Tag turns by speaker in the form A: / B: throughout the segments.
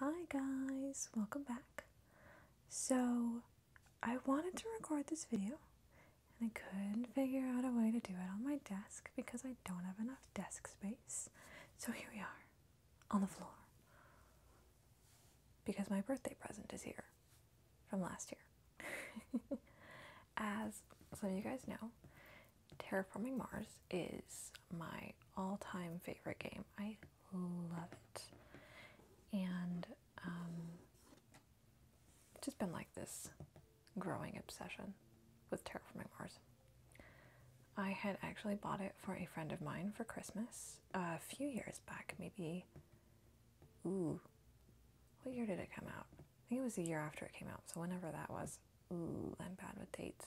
A: Hi guys, welcome back. So, I wanted to record this video and I couldn't figure out a way to do it on my desk because I don't have enough desk space. So, here we are on the floor because my birthday present is here from last year. As some of you guys know, Terraforming Mars is my all time favorite game. I love it. And um, it's just been like this growing obsession with Terraforming Mars. I had actually bought it for a friend of mine for Christmas uh, a few years back, maybe. Ooh, what year did it come out? I think it was the year after it came out, so whenever that was. Ooh, I'm bad with dates.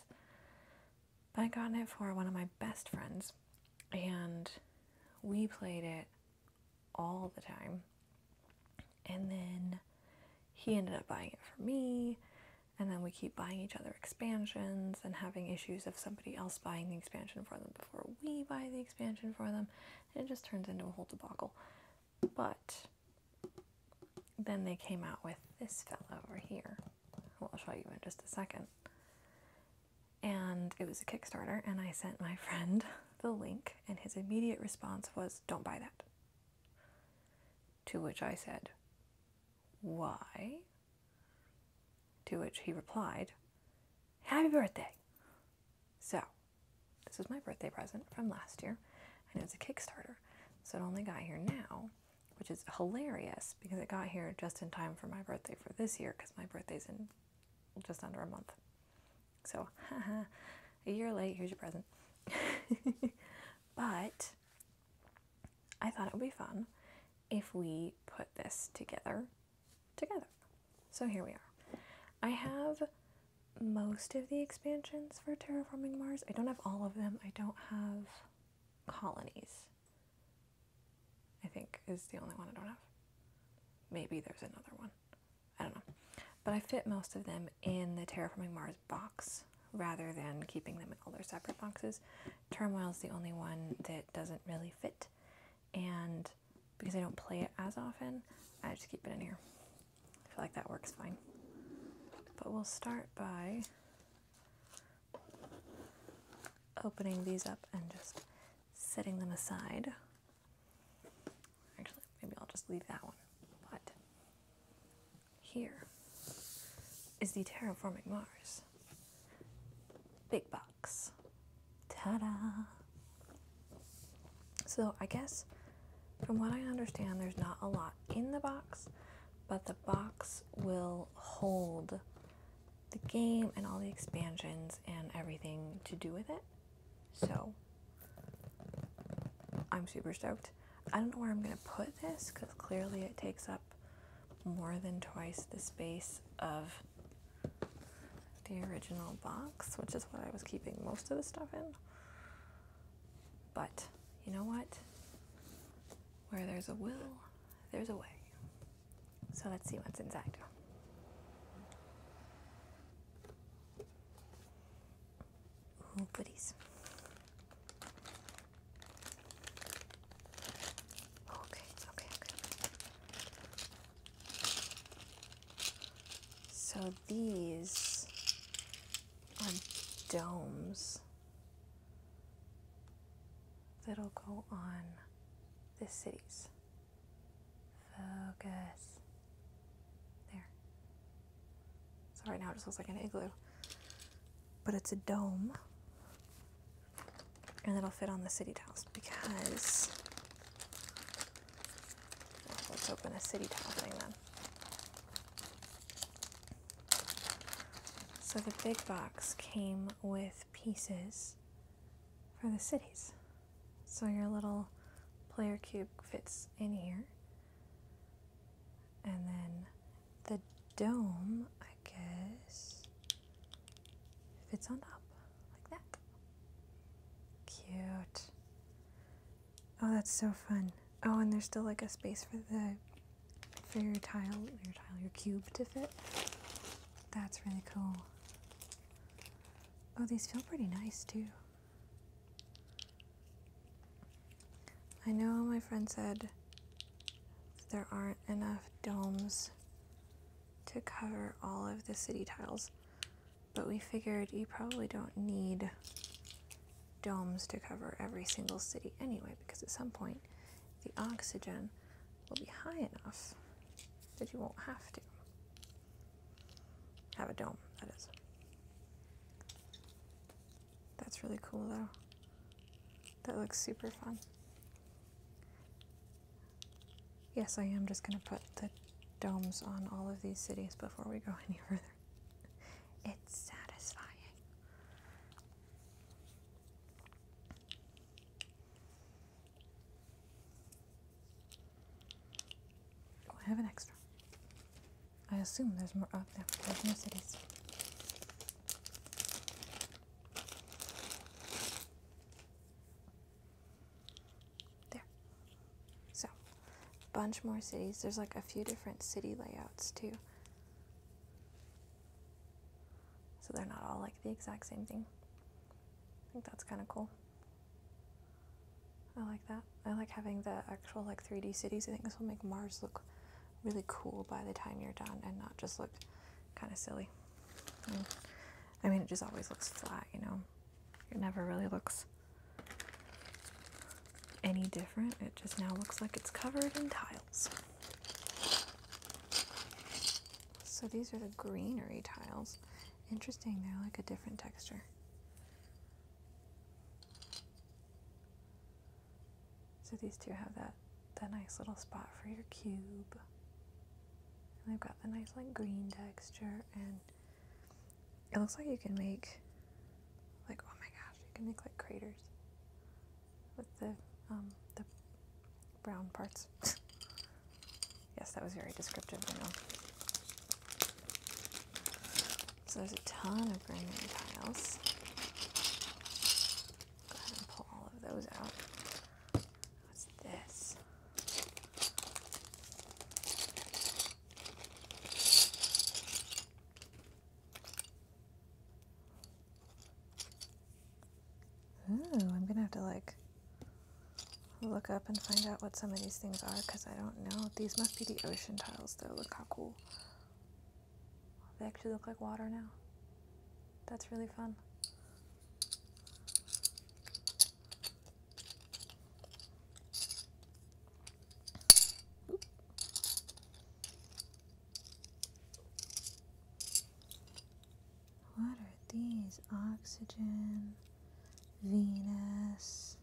A: I got it for one of my best friends, and we played it all the time. And then he ended up buying it for me, and then we keep buying each other expansions and having issues of somebody else buying the expansion for them before we buy the expansion for them. And it just turns into a whole debacle. But then they came out with this fella over here, I'll show you in just a second. And it was a Kickstarter, and I sent my friend the link, and his immediate response was, Don't buy that. To which I said, Why? To which he replied, Happy birthday! So, this was my birthday present from last year, and it was a Kickstarter, so it only got here now which is hilarious because it got here just in time for my birthday for this year because my birthday's in just under a month. So, a year late, here's your present. but I thought it would be fun if we put this together together. So here we are. I have most of the expansions for Terraforming Mars. I don't have all of them. I don't have colonies. I think is the only one I don't have. Maybe there's another one. I don't know. But I fit most of them in the Terraforming Mars box rather than keeping them in all their separate boxes. Turmoil is the only one that doesn't really fit. And because I don't play it as often, I just keep it in here. I feel like that works fine. But we'll start by opening these up and just setting them aside. Actually, maybe I'll just leave that one. But here is the Terraforming Mars. Big box. Ta-da! So I guess from what I understand, there's not a lot in the box, but the box will hold the game and all the expansions and everything to do with it. So I'm super stoked. I don't know where I'm going to put this because clearly it takes up more than twice the space of the original box, which is what I was keeping most of the stuff in. But you know what? Where there's a will, there's a way. So let's see what's inside. Ooh, goodies. Okay, okay, okay. So these are um, domes that'll go on the city's Focus. There. So right now it just looks like an igloo. But it's a dome. And it'll fit on the city tiles because let's open a city tile thing then. So the big box came with pieces for the cities. So your little player cube fits in here. And then the dome, I guess, fits on top like that. Cute. Oh, that's so fun. Oh, and there's still like a space for the for your tile, your tile, your cube to fit. That's really cool. Oh, these feel pretty nice too. I know my friend said there aren't enough domes to cover all of the city tiles, but we figured you probably don't need domes to cover every single city anyway, because at some point the oxygen will be high enough that you won't have to have a dome, that is. That's really cool though. That looks super fun. Yes, I am just going to put the domes on all of these cities before we go any further. It's satisfying. Oh, I have an extra. I assume there's more up oh, there. There's more cities. There. So bunch more cities. There's like a few different city layouts too. So they're not all like the exact same thing. I think that's kind of cool. I like that. I like having the actual like 3D cities. I think this will make Mars look really cool by the time you're done and not just look kind of silly. Mm. I mean, it just always looks flat, you know. It never really looks any different. It just now looks like it's covered in tiles. So these are the greenery tiles. Interesting, they're like a different texture. So these two have that, that nice little spot for your cube. And they've got the nice like green texture and it looks like you can make, like, oh my gosh, you can make like craters with the um, the brown parts. yes, that was very descriptive. I know. So there's a ton of granite tiles. Go ahead and pull all of those out. What's this? Ooh, I'm gonna have to like look up and find out what some of these things are because I don't know. These must be the ocean tiles though. Look how cool. They actually look like water now. That's really fun. What are these? Oxygen, Venus,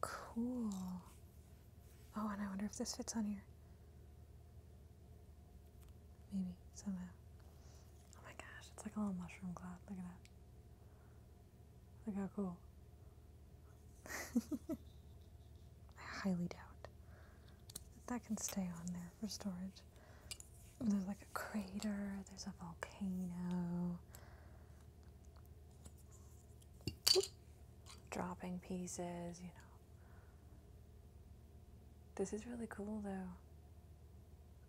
A: cool. Oh, and I wonder if this fits on here. Maybe somehow. Oh my gosh, it's like a little mushroom cloud. Look at that. Look how cool. I highly doubt that can stay on there for storage. There's like a crater, there's a volcano. Dropping pieces, you know. This is really cool though.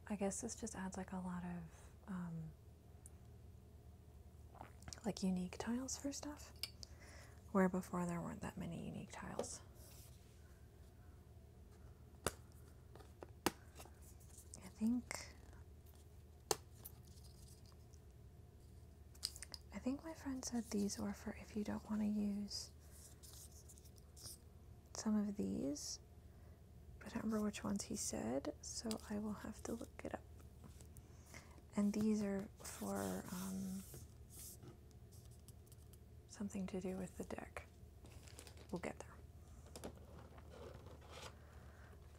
A: I guess this just adds like a lot of um, like unique tiles for stuff, where before there weren't that many unique tiles. I think. I think my friend said these were for if you don't want to use some of these. I don't remember which ones he said, so I will have to look it up. And these are for um, something to do with the deck. We'll get there.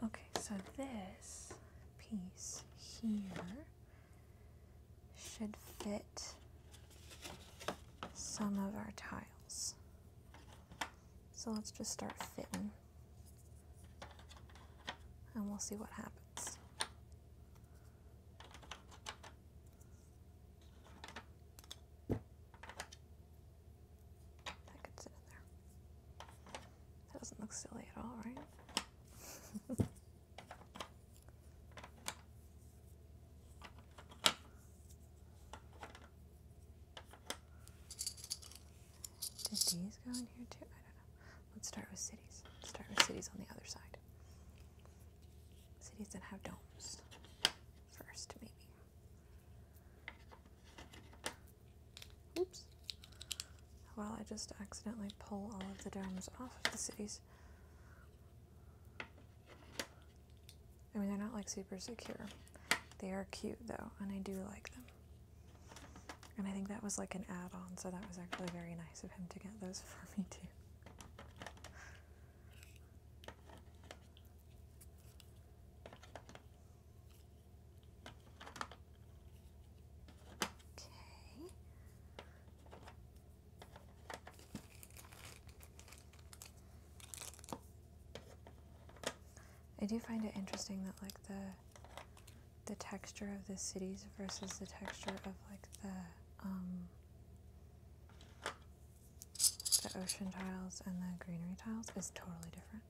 A: Okay, so this piece here should fit some of our tiles. So let's just start fitting. And we'll see what happens. That could sit in there. doesn't look silly at all, right? Did these go in here too? I don't know. Let's start with cities. Let's start with cities on the other side. Cities that have domes first, maybe. Oops. Well, I just accidentally pull all of the domes off of the cities. I mean, they're not like super secure. They are cute though, and I do like them. And I think that was like an add on, so that was actually very nice of him to get those for me too. Okay. I do find it interesting that like the the texture of the cities versus the texture of like the um, the ocean tiles and the greenery tiles is totally different.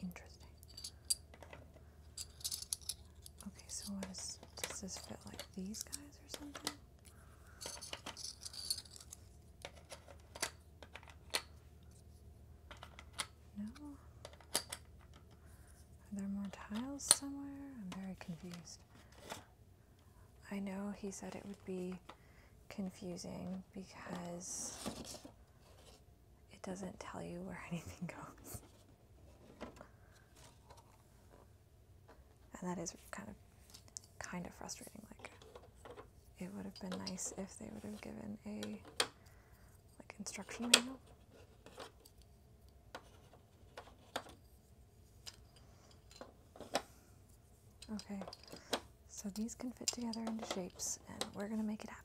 A: Interesting. Okay, so does this fit like these guys or something? No? Are there more tiles somewhere? I'm very confused. I know he said it would be confusing because it doesn't tell you where anything goes. And that is kind of kind of frustrating. Like it would have been nice if they would have given a like instruction manual. Okay, so these can fit together into shapes and we're gonna make it happen.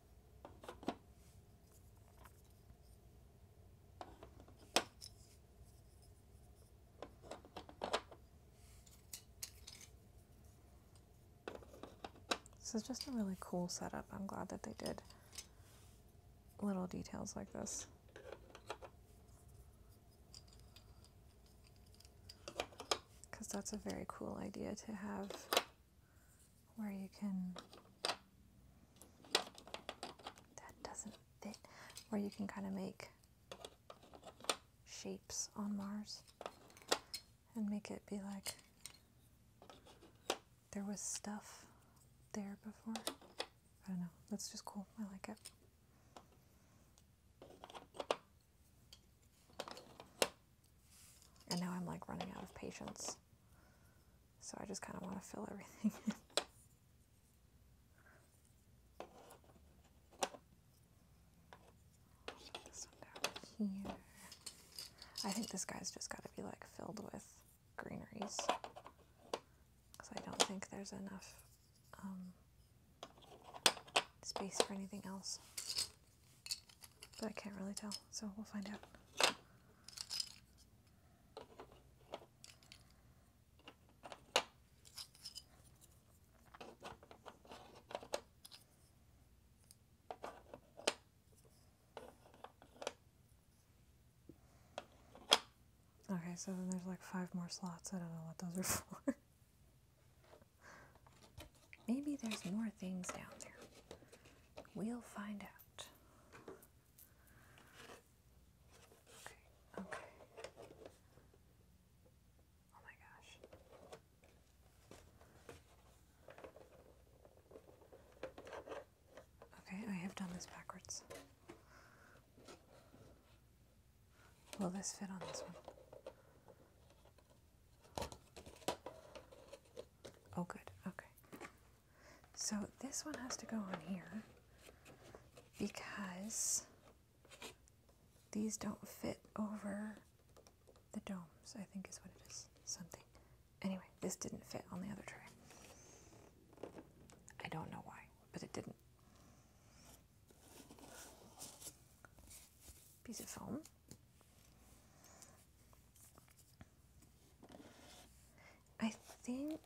A: This is just a really cool setup. I'm glad that they did little details like this. Because that's a very cool idea to have where you can that doesn't fit where you can kind of make shapes on Mars and make it be like there was stuff there before. I don't know. That's just cool. I like it. And now I'm like running out of patience. So I just kind of want to fill everything in. I think this guy's just got to be like filled with greeneries because I don't think there's enough um, space for anything else. But I can't really tell, so we'll find out. Okay, so then there's like five more slots. I don't know what those are for. Maybe there's more things down there. We'll find out. Okay, okay. Oh my gosh. Okay, I have done this backwards. Will this fit on this one? Oh, good. Okay. So this one has to go on here because these don't fit over the domes, I think is what it is. Something. Anyway, this didn't fit on the other tray. I don't know why, but it didn't. Piece of foam. I think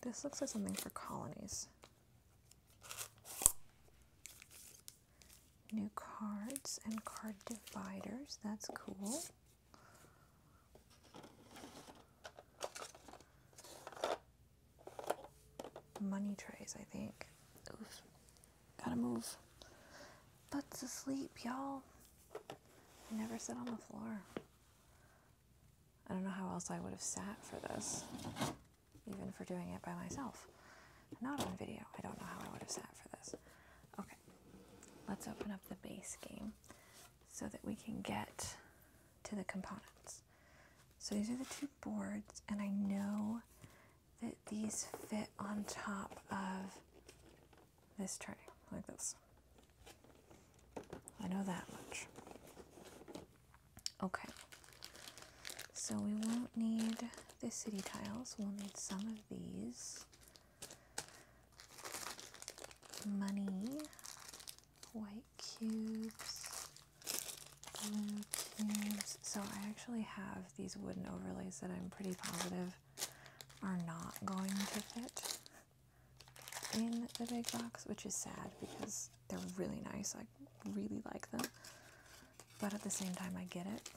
A: this looks like something for colonies. New cards and card dividers, that's cool. Money trays, I think. Gotta move. Butts asleep, y'all. I never sit on the floor. I don't know how else I would have sat for this, even for doing it by myself. Not on video. I don't know how I would have sat for this. Okay, let's open up the base game so that we can get to the components. So these are the two boards, and I know that these fit on top of this tray, like this. I know that much. Okay. So we won't need the city tiles. We'll need some of these. Money. White cubes. Blue cubes. So I actually have these wooden overlays that I'm pretty positive are not going to fit in the big box, which is sad because they're really nice. I really like them. But at the same time, I get it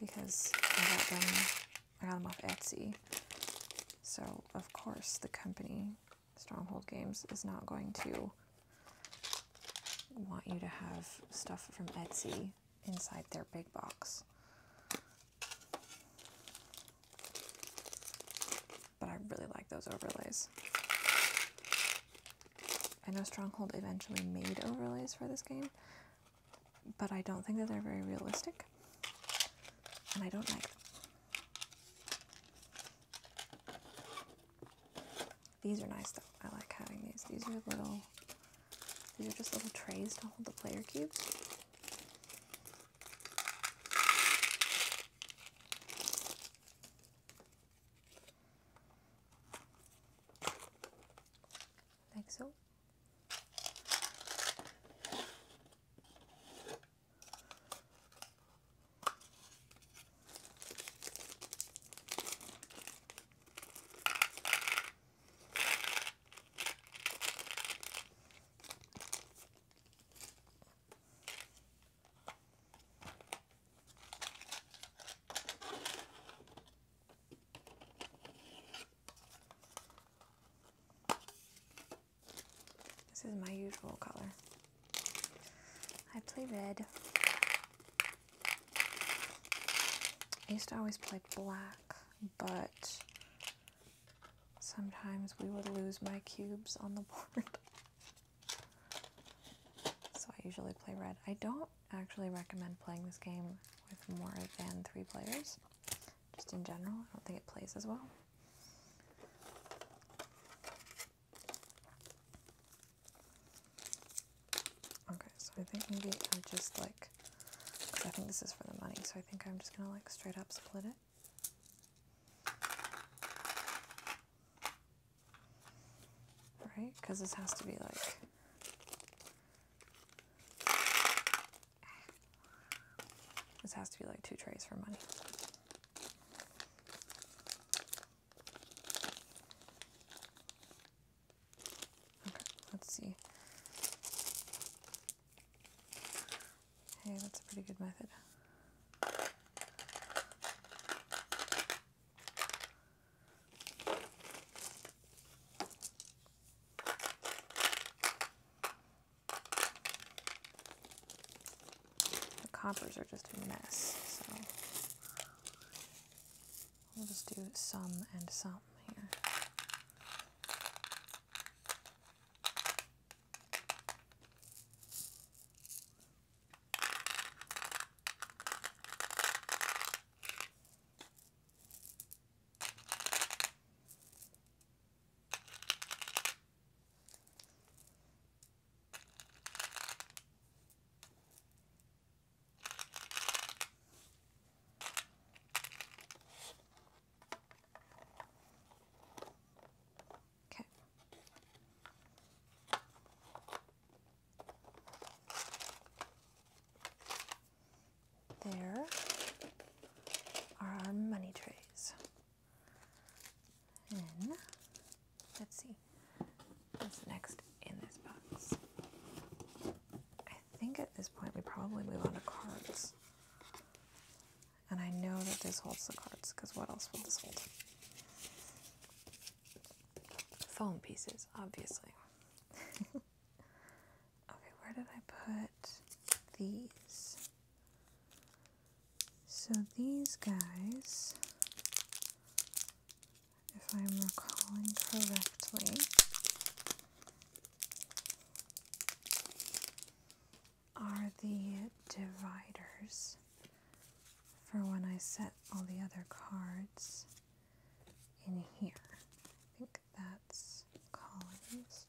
A: because I got them off Etsy. So, of course, the company, Stronghold Games, is not going to want you to have stuff from Etsy inside their big box. But I really like those overlays. I know Stronghold eventually made overlays for this game, but I don't think that they're very realistic, and I don't like them. These are nice though. I like having these. These are little, these are just little trays to hold the player cubes. Like so. This is my usual color. I play red. I used to always play black, but sometimes we would lose my cubes on the board. so I usually play red. I don't actually recommend playing this game with more than three players. Just in general, I don't think it plays as well. Okay, so I think maybe I just like, because I think this is for the money, so I think I'm just gonna like straight up split it. Right? Because this has to be like. This has to be like two trays for money. Okay, let's see. Hey, that's a pretty good method. The coppers are just a mess, so We'll just do sum and sum here. Okay. There are our money trays. And Let's see what's next in this box. I think at this point we probably move on to cards. And I know that this holds the cards, because what else would this hold? Foam pieces, obviously. okay, where did I put these? So these guys if I'm recalling correctly. Are the dividers for when I set all the other cards in here? I think that's colonies,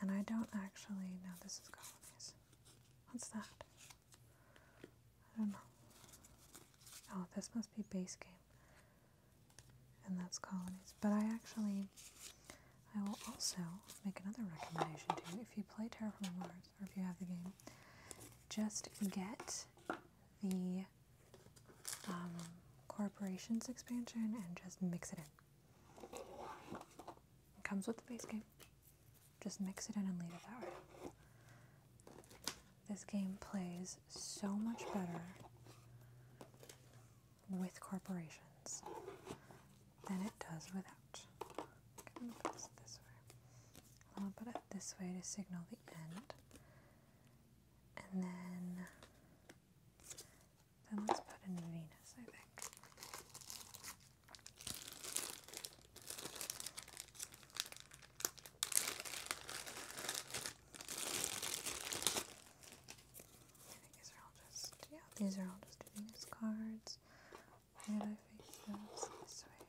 A: And I don't actually know this is colonies. What's that? I don't know. Oh, this must be base game. And that's colonies. But I actually, I will also make another recommendation to you. If you play Terraforming Mars, or if you have the game, just get the um, Corporations expansion and just mix it in. It comes with the base game. Just mix it in and leave it that way. This game plays so much better with corporations than it does without. I'm gonna put put it this way to signal the end. And then, then let's put in Venus, I think these are all just, yeah, these are all just Venus cards. And I face those this way.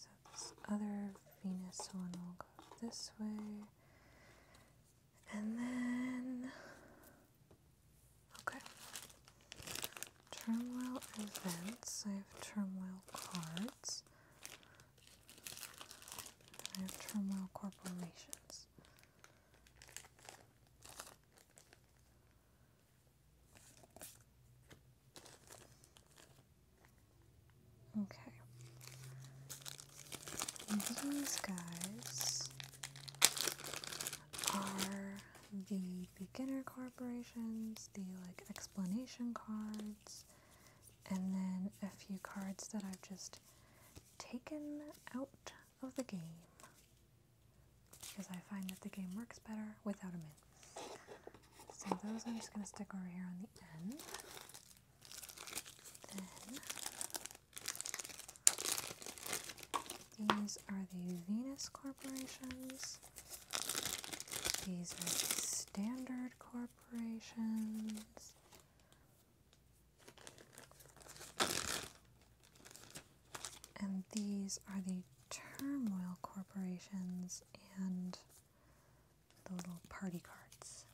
A: So this other Venus one will go this way. And then Okay. Turmoil events. I have turmoil cards. I have turmoil corporations. Okay. These guys are the beginner corporations, the like explanation cards, and then a few cards that I've just taken out of the game because I find that the game works better without them in. So those I'm just going to stick over here on the end. These are the Venus corporations. These are the standard corporations. And these are the turmoil corporations and the little party cards.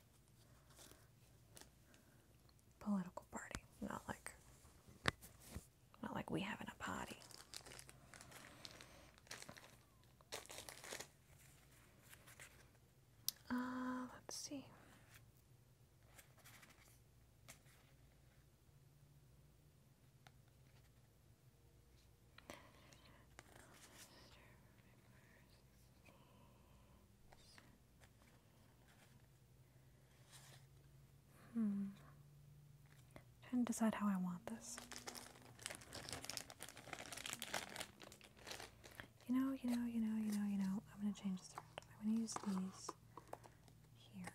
A: Political party, not like not like we having a party. Uh, let's see. I'm hmm. trying to decide how I want this. You know, you know, you know, you know, you know. I'm gonna change this I'm gonna use these here.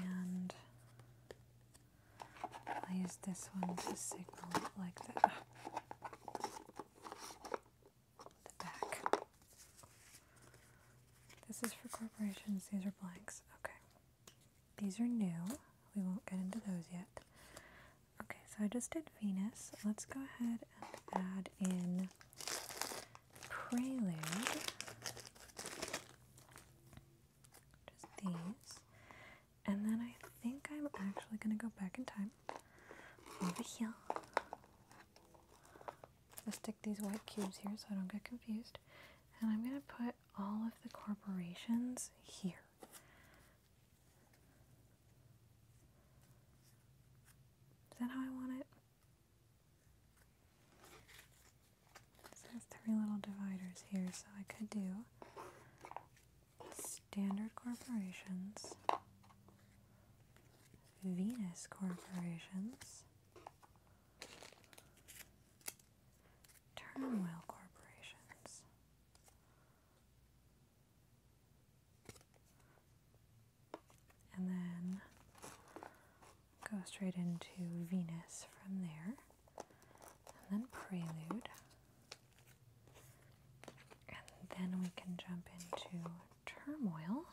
A: And i use this one to signal like that. This is for corporations. These are blanks. Okay. These are new. We won't get into those yet. Okay, so I just did Venus. Let's go ahead and add in Prelude. Just these. And then I think I'm actually going to go back in time over here. Let's stick these white cubes here so I don't get confused. And I'm going to put all of the corporations here. Is that how I want it? So there's three little dividers here, so I could do Standard Corporations, Venus Corporations, Turnwell Corporations, and then go straight into Venus from there, and then Prelude. And then we can jump into turmoil.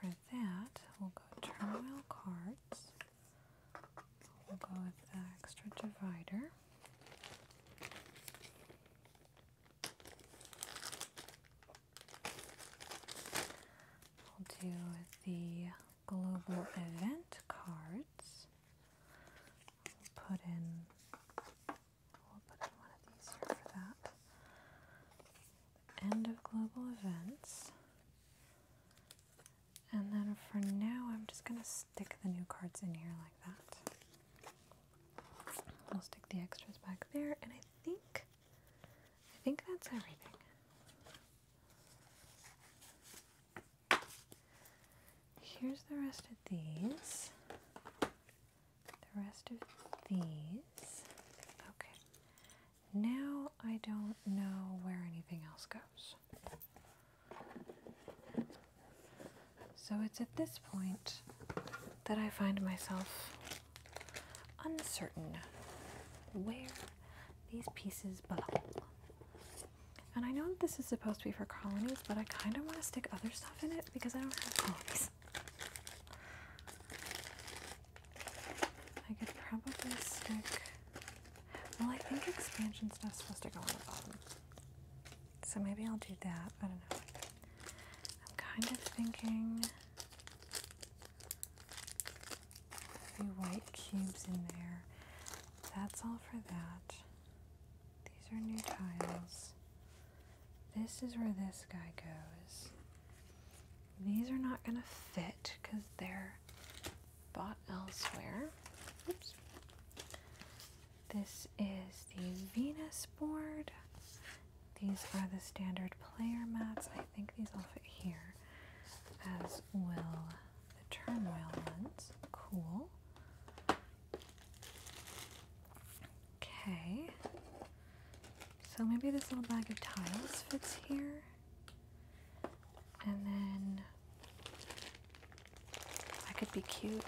A: For that, we'll go turmoil cards. We'll go with the extra divider. We'll do the global event cards. We'll put in we'll put in one of these here for that. End of global events. And then for now I'm just gonna stick the new cards in here like that. We'll stick the extras back there and I think I think that's everything. Here's the rest of these. The rest of these. Okay. Now I don't know where anything else goes. So it's at this point that I find myself uncertain where these pieces belong. And I know this is supposed to be for colonies, but I kind of want to stick other stuff in it because I don't have colonies. I could probably stick. Well, I think expansion stuff is supposed to go on the bottom. So maybe I'll do that. I don't know. I'm kind of thinking a few white cubes in there. That's all for that. These are new tiles. This is where this guy goes. These are not going to fit because they're bought elsewhere. Oops. This is the Venus board. These are the standard player mats. I think these all fit here as well the turmoil ones. Cool. Okay. So maybe this little bag of tiles fits here. And then I could be cute.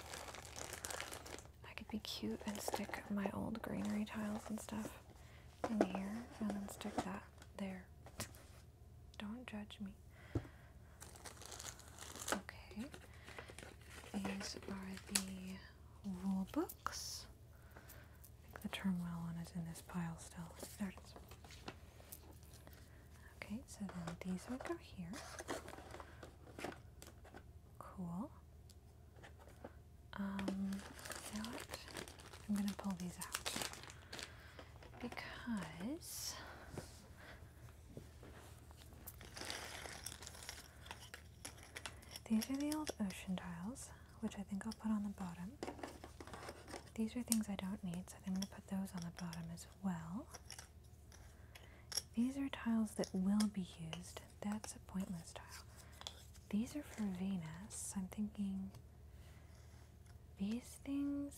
A: I could be cute and stick my old greenery tiles and stuff in here and then stick that there. Don't judge me. Okay. These are the rule books. I think the turmoil one is in this pile still. There it is. Okay, so then these will go here. Cool. Um, you I'm gonna pull these out because these are the old ocean tiles, which I think I'll put on the bottom. These are things I don't need, so I'm going to put those on the bottom as well. These are tiles that will be used. That's a pointless tile. These are for Venus. I'm thinking these things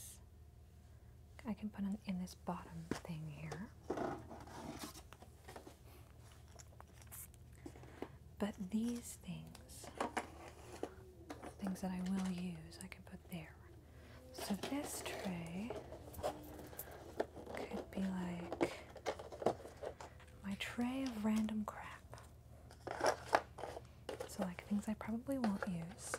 A: I can put in this bottom thing here. But these things, things that I will use, I can put there. So this tray could be like my tray of random crap. So like things I probably won't use.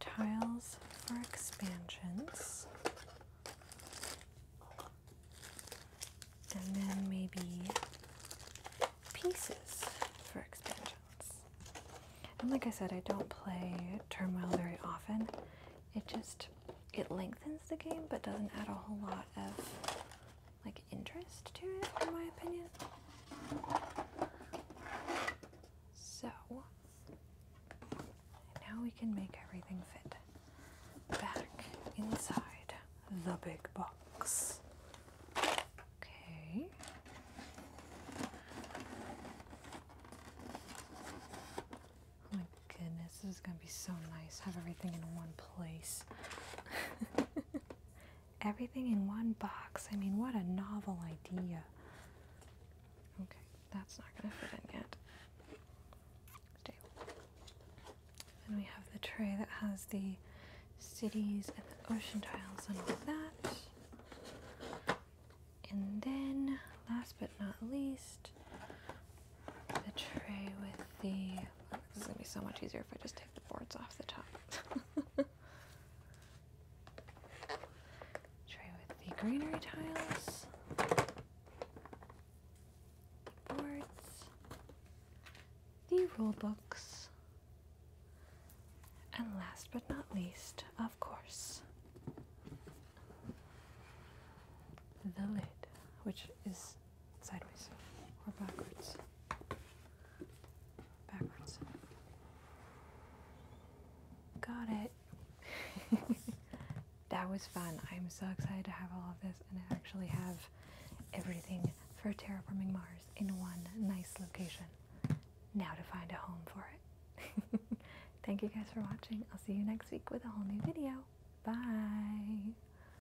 A: Tiles for expansions. And then maybe pieces for expansions. And like I said, I don't play Turmoil very often. It just, it lengthens the game but doesn't add a whole lot of like interest to it, in my opinion. So now we can make everything fit back inside the big box. Okay. Oh my goodness, this is gonna be so nice. Have everything in one place. Everything in one box. I mean, what a novel idea. Okay, that's not going to fit in yet. And we have the tray that has the cities and the ocean tiles and that. And then, last but not least, the tray with the. Oh, this is going to be so much easier if I just the boards off the top. Try with the greenery tiles, the boards, the rule books, and last but not least, of course, the lid, which is sideways or backwards. Backwards. Got it. that was fun. I'm so excited to have all of this and I actually have everything for Terraforming Mars in one nice location. Now to find a home for it. Thank you guys for watching. I'll see you next week with a whole new video. Bye.